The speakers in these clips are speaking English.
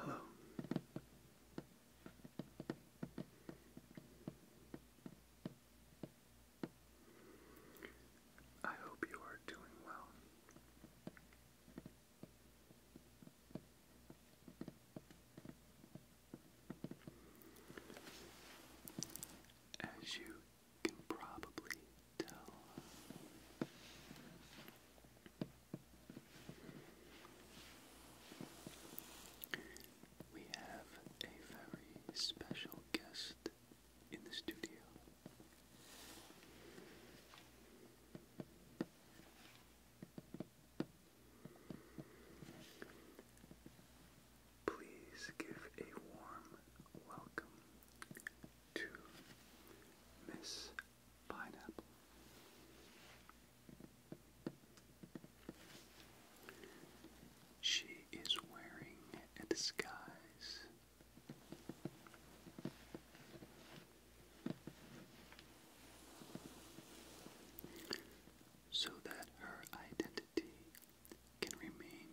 Hello. I hope you are doing well. As you can probably tell, we have a very special guest in the studio. Please give a warm welcome to Miss Pineapple. She is wearing a disguise so that her identity can remain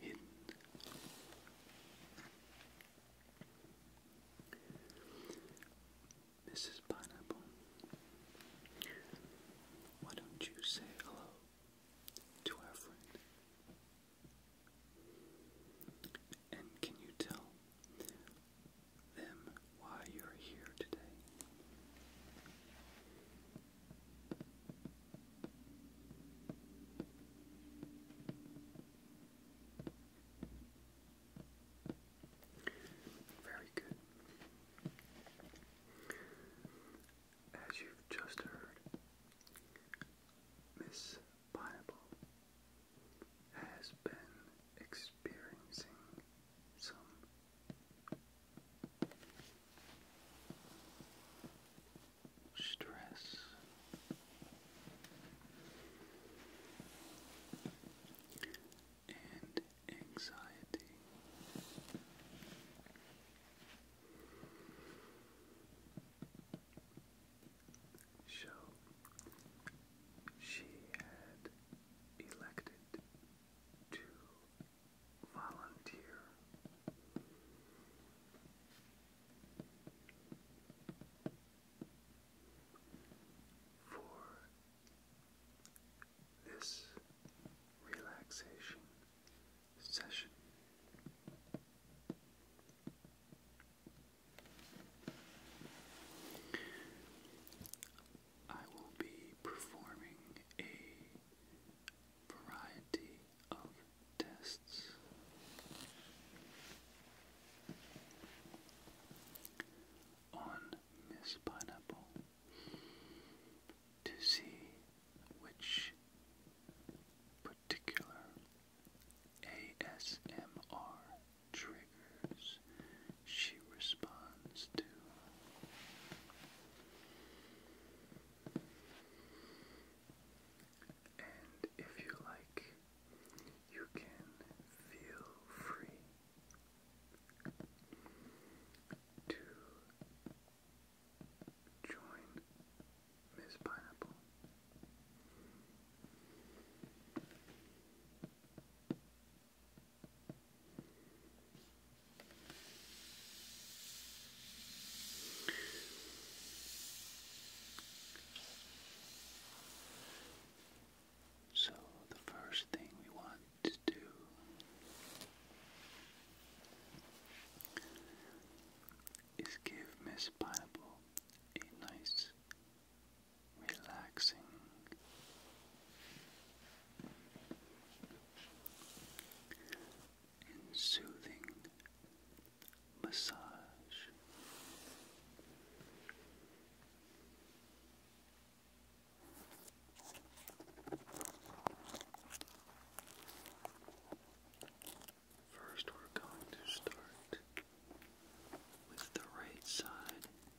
hidden. Mrs. Pineapple, why don't you say hello to our friend? And can you tell them why you're here today? Very good. As you just heard, Miss Pineapple has been experiencing some stress. And anxiety show she had elected to volunteer. For this relaxation session, I will be performing a variety of tests. On Miss Pineapple to see which particular ASMR triggers she responds to. And if you like, you can feel free to join Miss Pineapple so, the first thing we want to do is give Miss Pineapple a nice relaxing. soothing massage. First, we're going to start with the right side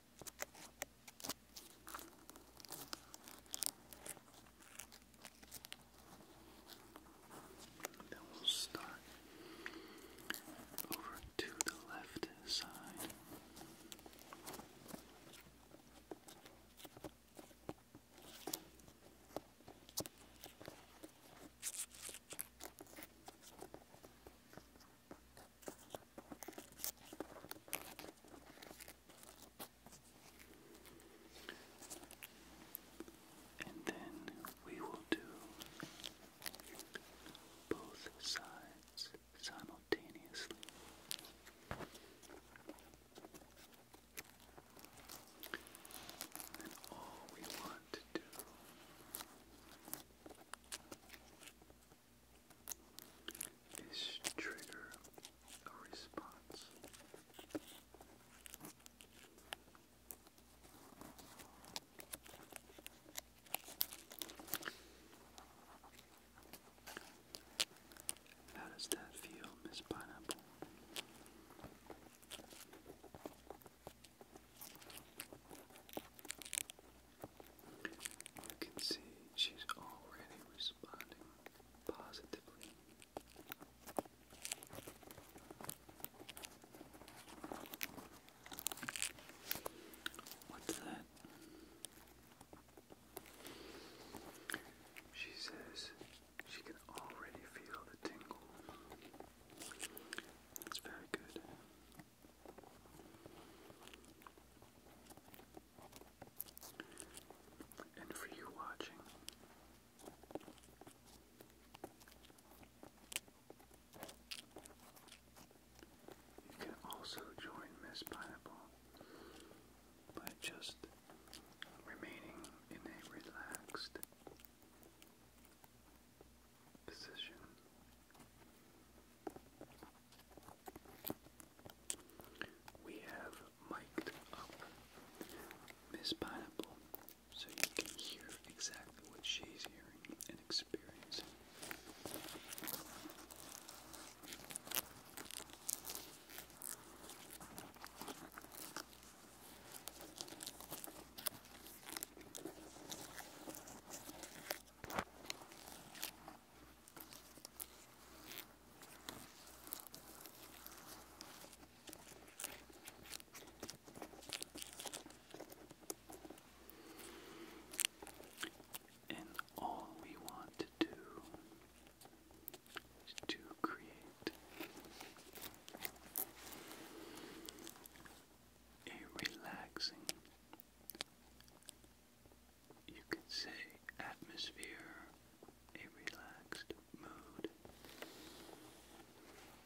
Then we'll start over to the left side. Good. And then we will do both sides simultaneously. And all we want to do is trigger a response. How does that feel, Miss Pineapple? You can see she's already responding positively. What's that? She says she can already feel the tingle. That's very good. And for you watching, you can also join Miss Pineapple by just remaining in a relaxed position. We have mic up Miss Pineapple so you can hear exactly what she's hearing and experiencing. And all we want to do is to create a relaxing you could say atmosphere, a relaxed mood.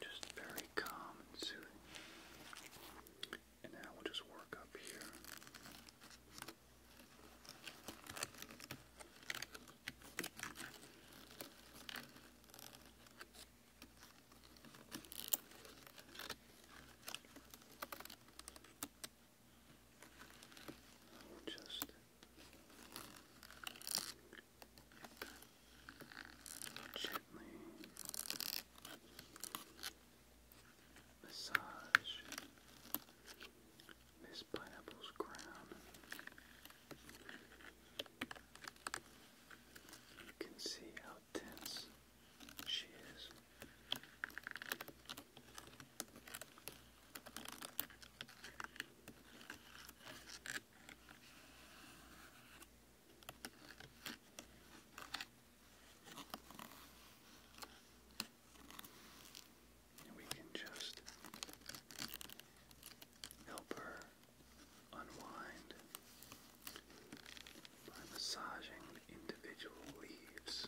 Just very calm and soothing. now we'll just work up here i just gently massage this pineapple's crown. You can see how tense she we can just help her unwind by massaging individual leaves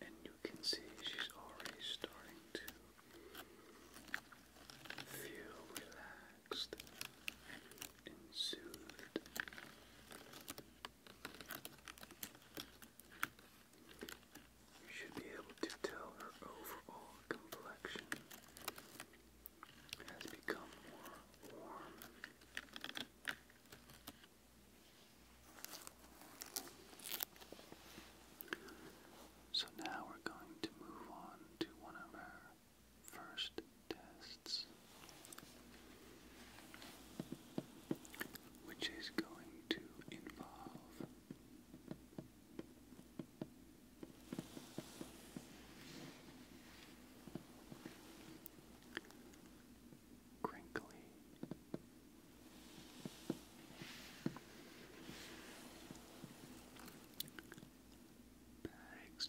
And you can see she's already starting to feel relaxed and soothed. You should be able to tell her overall complexion has become more warm. So now we're going to move on to one of our first tests, which is going to involve crinkly. Bags.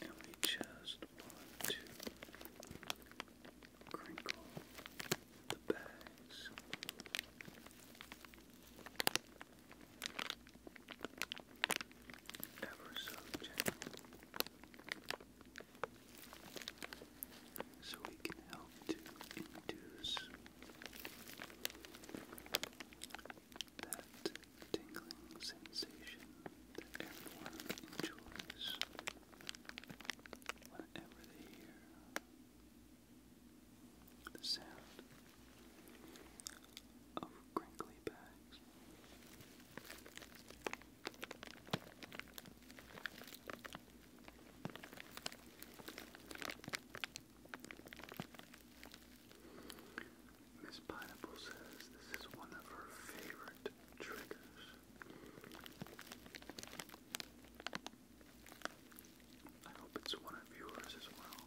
And we just want to crinkle the bags ever so gentle, so we can help to induce that tingling sensation that everyone enjoys whenever they hear the sound of crinkly bags. Miss Pineapple says this is one of her favorite triggers. I hope it's one of yours as well.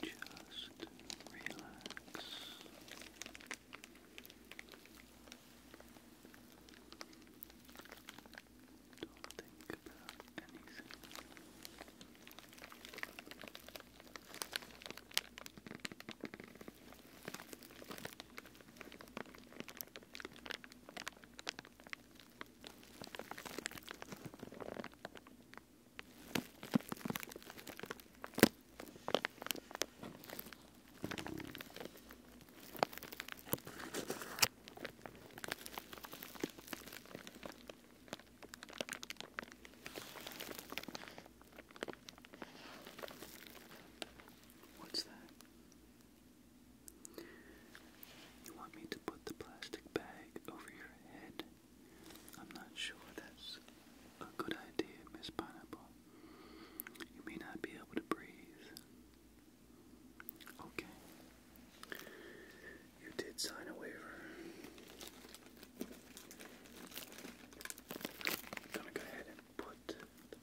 Just relax. Don't think about anything. What's that? You want me to put the plastic bag over your head? I'm not sure that's a good idea, Miss Pineapple. You may not be able to breathe. Okay. You did sign a waiver. I'm gonna go ahead and put the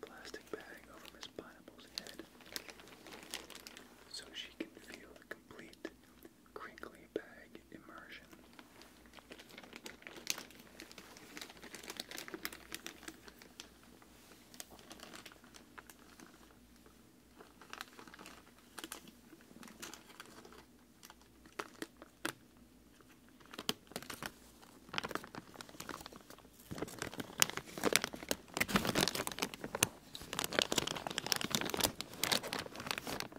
plastic bag over Miss Pineapple's head so she can feel complete crinkly bag immersion.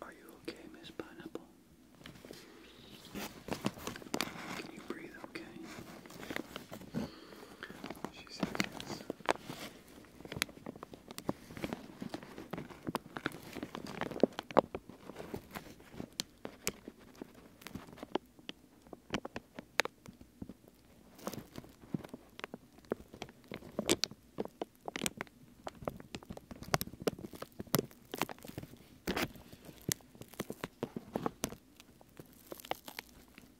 Are you okay, Miss Pineapple? Can you breathe okay? She says yes.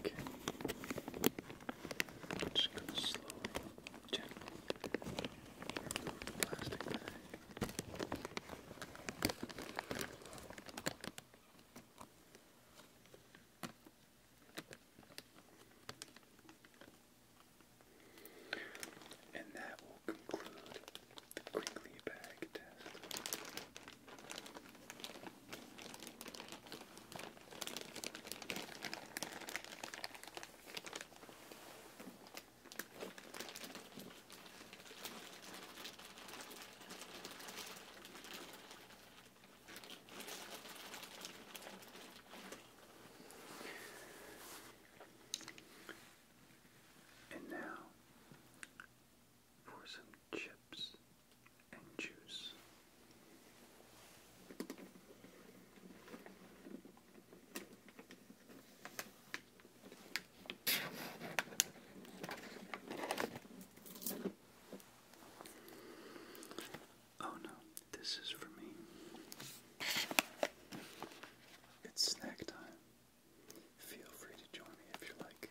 Okay. just gonna slowly, gently plastic bag. And that will conclude crinkly bag test. And now for some chips and juice. Oh no, this is for me. It's snack time. Feel free to join me if you like.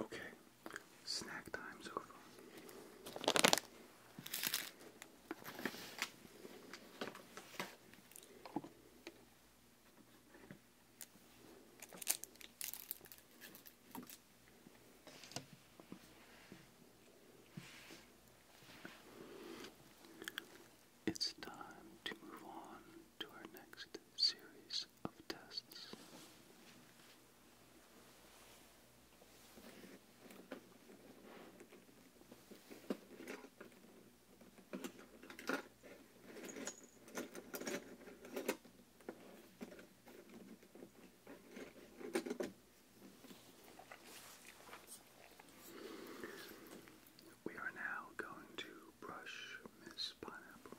Okay, snack time's over. It's time to move on to our next series of tests. We are now going to brush Miss Pineapple.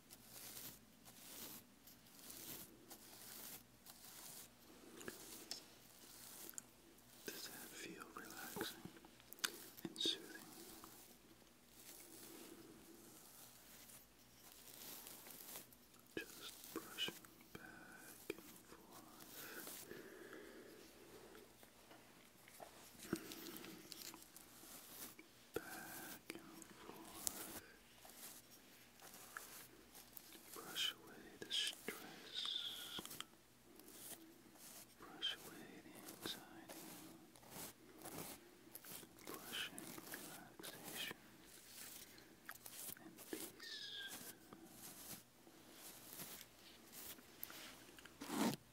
Does that feel relaxing and soothing? Just brushing back and forth. Back back and Brush away the stress. Brush away the anxiety. Brushing relaxation and peace.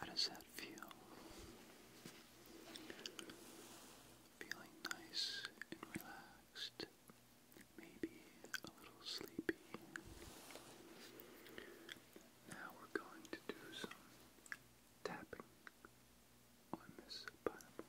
How does that feel? Feeling nice and relaxed, maybe a little sleepy. Now we're going to do some tapping, on this bottom. All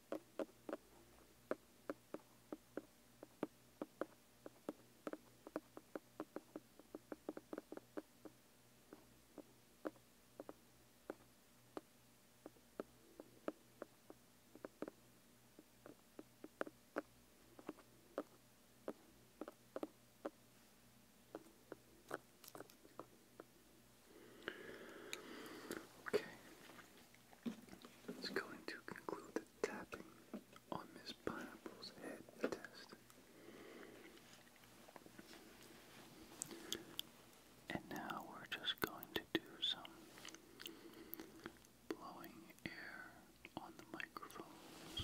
Okay. It's going to conclude tapping on Miss Pineapple's head test. And now we're just going to do some blowing air on the microphones.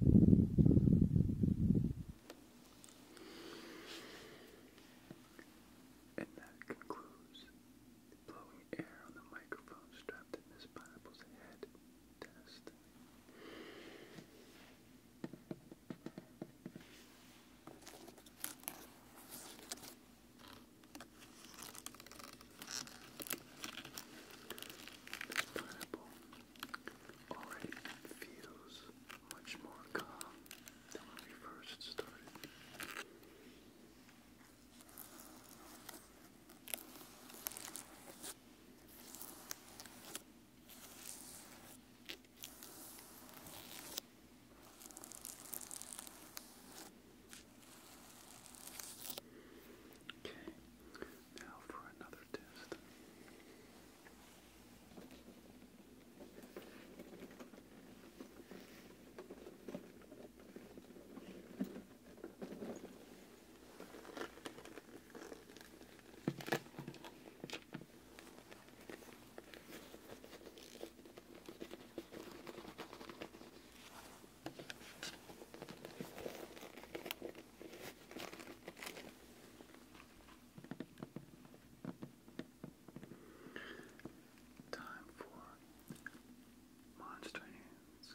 And that concludes blowing air on the microphone strapped to Miss Pineapple's head test. pineapple already feels much more calm than when we first started. Okay, now for another test. Now Time for Monster Hands.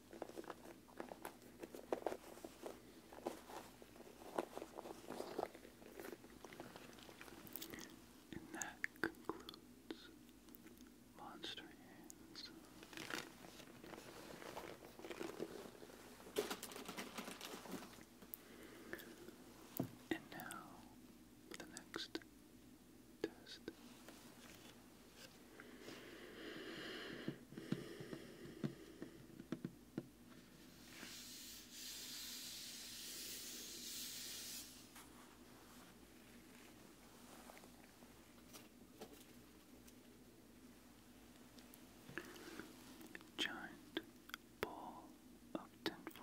And that concludes Monster Hands. And now, the next test. Giant ball of tinfoil.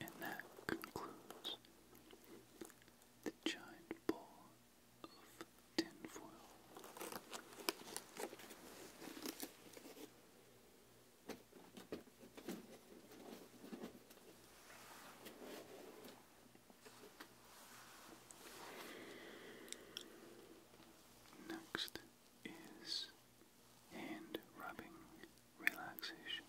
And that concludes the giant ball of tinfoil. Next is hand rubbing relaxation.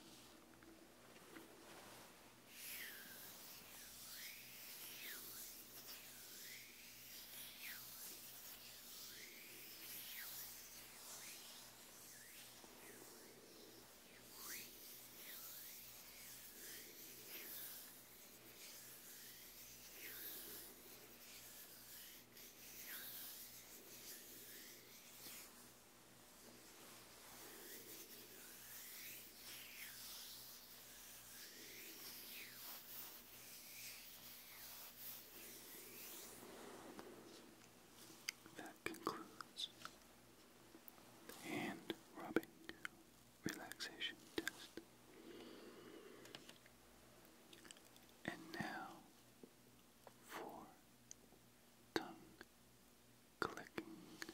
That concludes hand rubbing relaxation test. And now for tongue clicking. Clicking,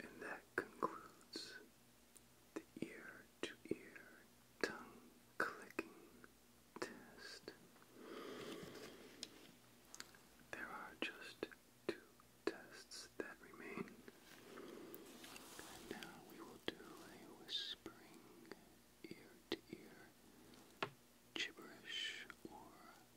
And that concludes the ear to ear tongue clicking test. There are just two tests that remain. now we will do a whispering ear to ear gibberish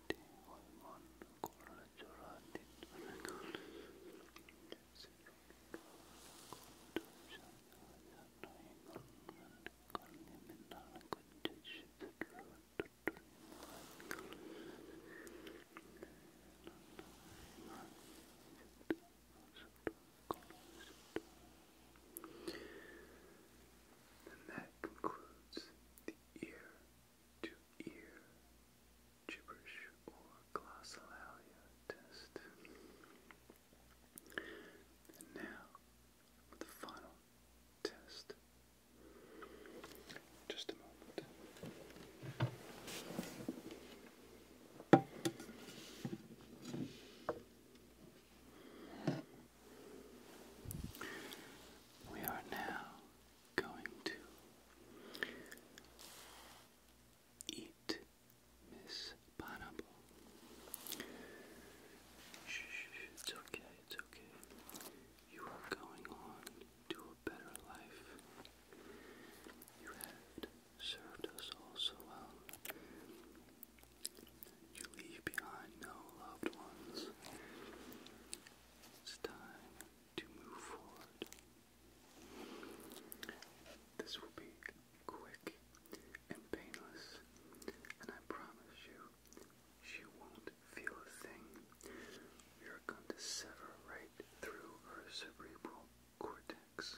والمن كل and that concludes the ear to ear gibberish or glossolalia test. And now, the final test. Just a moment. We are now going to eat Miss Pineapple. Shh, it's okay, it's okay. You are going on to a better life. You had served us all so well. You leave behind no loved ones. It's time to move forward. This will be quick and painless, and I promise you, she won't feel a thing. We are going sever right through her cerebral cortex.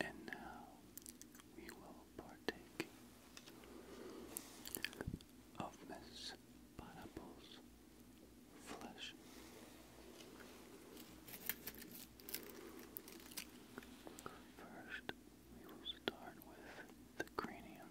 And now we will partake of Miss Pineapple's flesh. First, we will start with the cranium.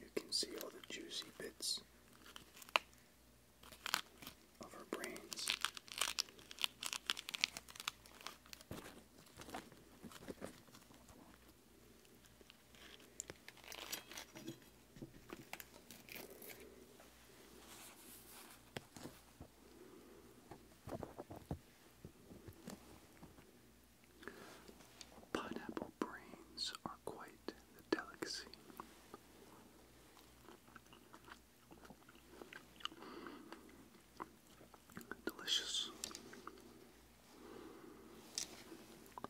You can see all the juicy bits of her brains. Pineapple brains are quite the delicacy. Delicious.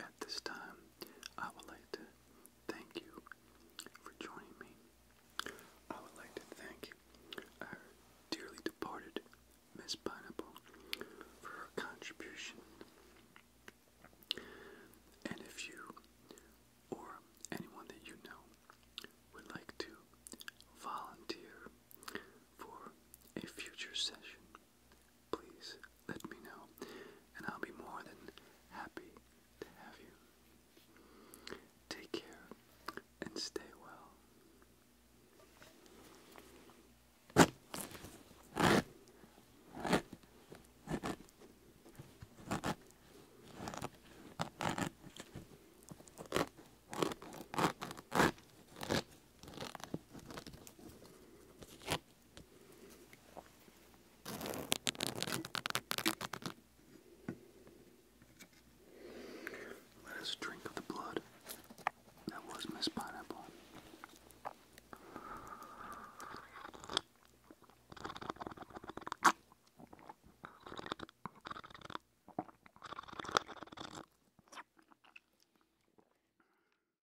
At this time, I would like to thank you for joining me. I would like to thank our dearly departed Miss Pineapple for her contribution. And if you or anyone that you know would like to volunteer for a future session, please let me know, and I'll be more than happy to have you. Take care and stay well. Let us drink of the blood that was Miss Pineapple.